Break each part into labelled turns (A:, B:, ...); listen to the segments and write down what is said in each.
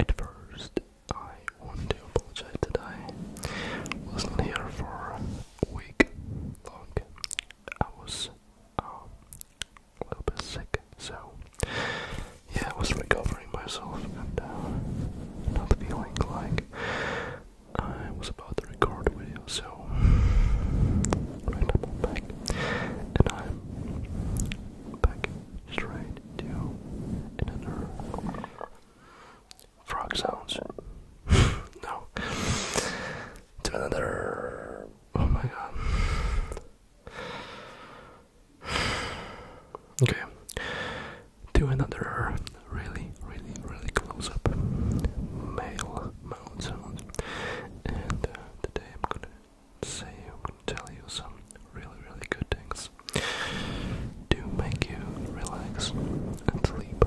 A: At first, I want to apologize that I was not here for a week long. I was um, a little bit sick, so yeah, I was recovering myself and uh, not feeling like I was about to record a video, so right up I'm back, and I'm back straight to another frog sounds. no, to another. Oh my god. Okay, do another really, really, really close up male my own sounds. And uh, today I'm gonna say, I'm gonna tell you some really, really good things to make you relax and sleep.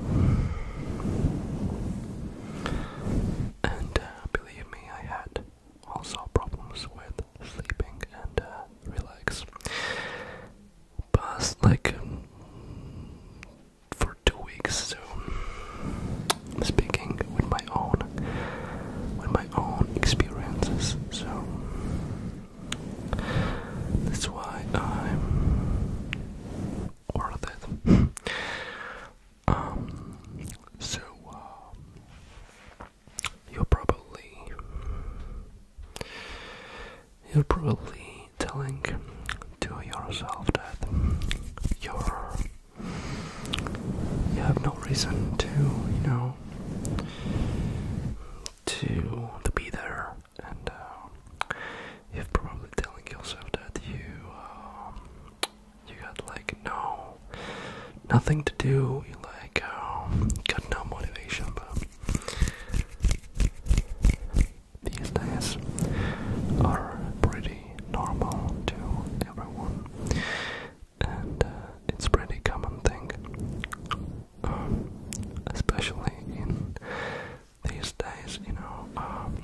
A: And uh, believe me, I had also problems with sleeping and uh, relax. Past like for two weeks, so speaking with my own with my own experiences, so that's why I'm worth it. um so uh, you're probably you're probably telling to yourself that you're you have no reason to, you know, to to be there, and uh, you're probably telling yourself that you um, you got like no nothing to do, you like um, got no motivation, but these days are pretty normal to everyone, and uh, it's pretty common thing, um, especially in these days. You know, um,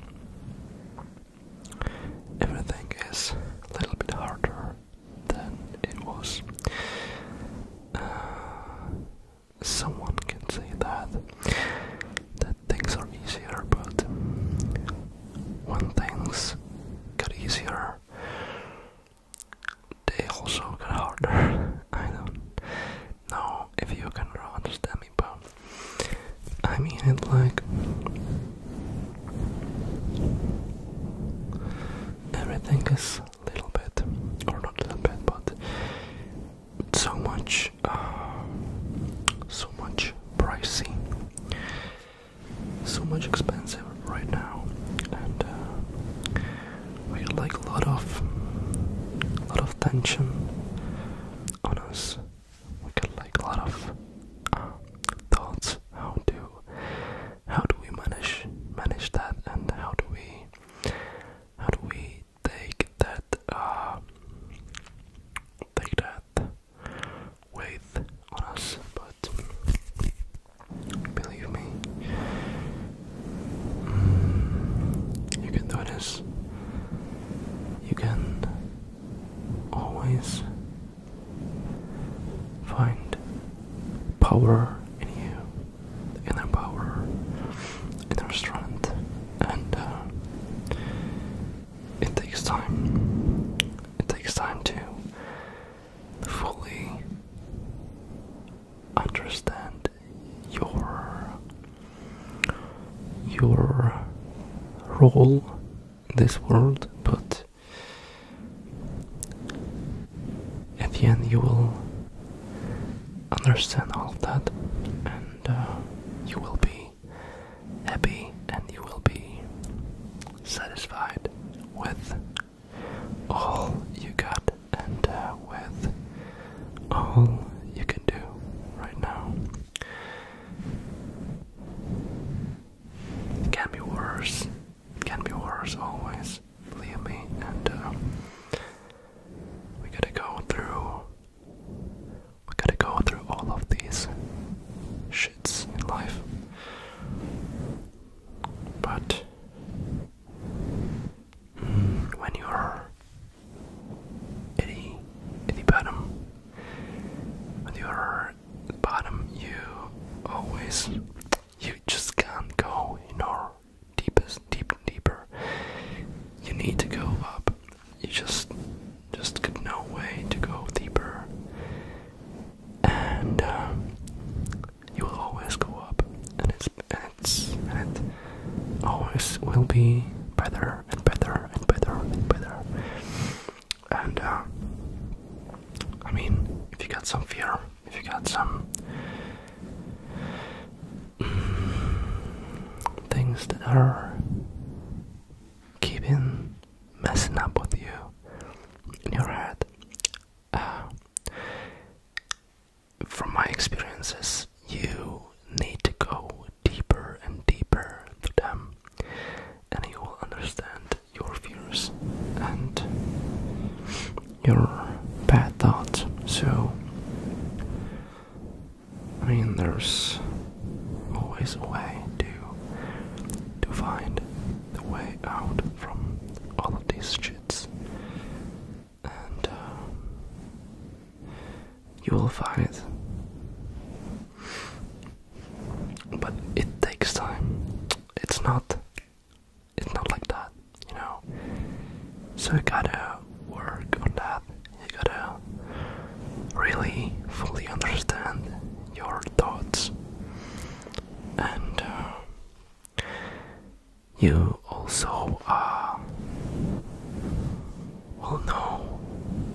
A: everything is a little bit harder than it was. Uh, someone can say that that things are easier, but when things get easier, they also get harder. I don't know if you can understand me, but I mean it like everything is a little bit, or not a little bit, but so much, uh, so much pricey, so much expensive right now, and uh, we like a lot of, a lot of tension on us. We get like a lot of uh, thoughts. How do, how do we manage manage that, and how do we, how do we take that uh, take that weight us, but believe me, mm, you can do this. You can always find power in you inner power, inner strength, and uh, it takes time. It takes time to fully understand your your role in this world, but at the end you will understand all of that, and uh, you will be happy and you will be satisfied with all you got and uh, with all you can do right now. It can be worse. It can be worse always. Believe me. And uh, we gotta go through. We gotta go through all of these shits in life. But mm, when you're at the, bottom, when you're bottom, you always, you just can't go, you know deepest, deep, deeper. You need to go up. You just, just got no way to go deeper. And uh, you will always go up, and it's, and it's, and it always will be better and better and better and better. And uh, I mean, if you got some fear, if you got some things that are keeping messing up with you in your head. Uh, from my experiences, you need to go deeper and deeper to them, and you will understand your fears and your bad thoughts. So, I mean, there's always a way to to find the way out from all of these shits, and uh, you will find it. But it takes time. It's not it's not like that, you know. So you gotta work on that. You gotta really fully understand your thoughts, and uh, you also uh, well know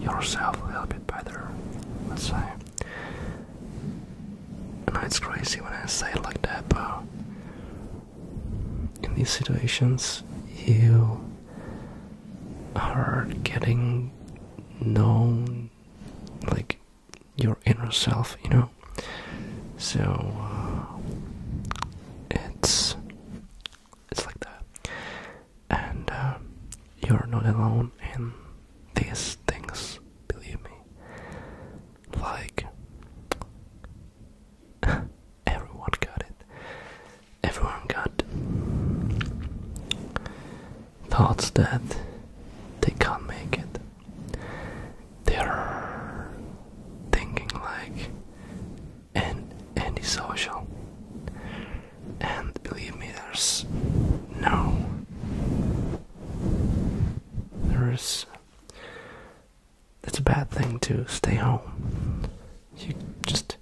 A: yourself a little bit better. Let's say. And it's crazy when I say it like that, but in these situations, you are getting known like your inner self, you know. So uh, it's it's like that, and uh, you're not alone in these things. Believe me, like Everyone got it. Everyone got thoughts that they can't make it. They're thinking like and antisocial. And believe me, there's no. There's it's a bad thing to stay home. You just,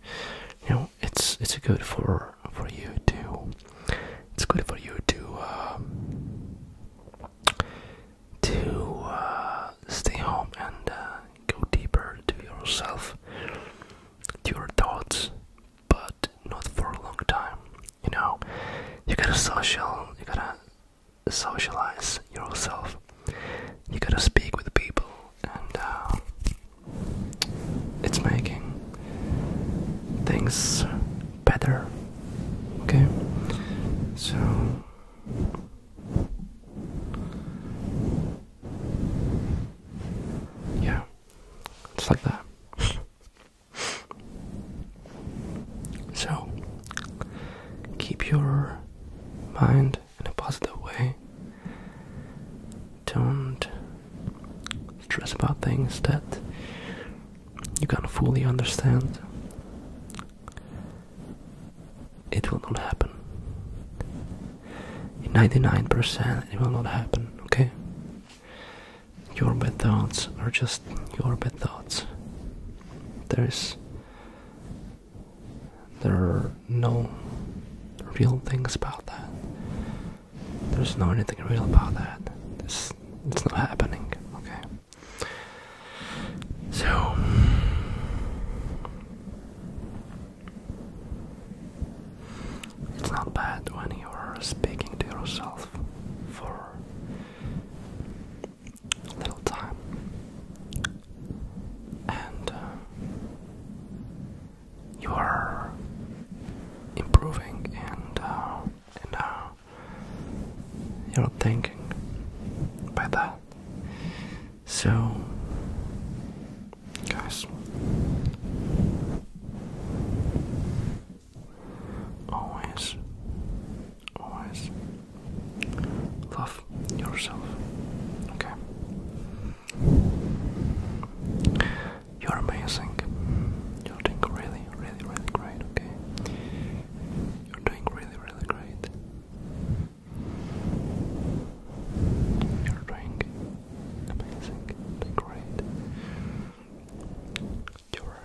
A: you know, it's it's good for for you to, it's good for you to uh, to uh, stay home and uh, go deeper to yourself, to your thoughts, but not for a long time. You know, you gotta social, you gotta socialize yourself. You gotta speak with people, and uh, it's making things better. Okay, so. Yeah, it's like that. So, keep your mind in a positive way. Don't stress about things that you can't fully understand. It will not happen. 99%, it will not happen, okay? Your bad thoughts are just your bad thoughts there is there are no real things about that. There's no anything real about that. It's it's not happening. Okay. So. It's not bad when you're speaking to yourself for little time, and uh, you are improving and uh, and uh, you're thinking by that. So, guys, Always, always love yourself. Okay? You're amazing. You're doing really, really, really great, okay? You're doing really, really great. You're doing amazing, doing great. You're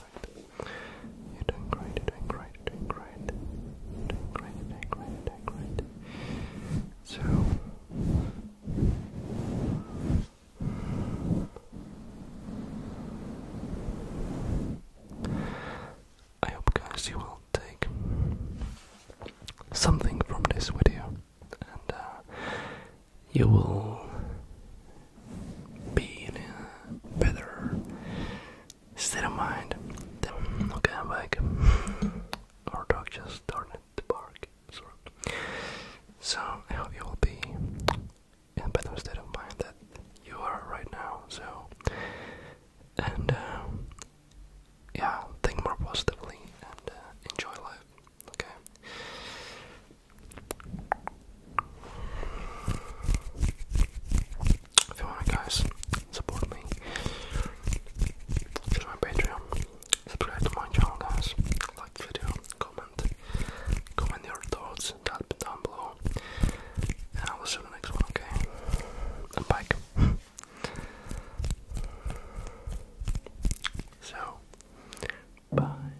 A: You're doing great, you're doing great, doing great. doing great, doing great, doing great. So I hope guys you will take something from this video and uh, you will be in a better state of mind. Then, look at am back. Our dog just started to bark. So, I hope you will be in a better state of mind that you are right now. So, and um, yeah, think more positively and uh, enjoy life. Okay. If you want, guys, support me. Join my Patreon. Subscribe to my channel, guys. Like the video. Comment. Comment your thoughts. That down below. And I will see you next one. Okay. i so. Bye.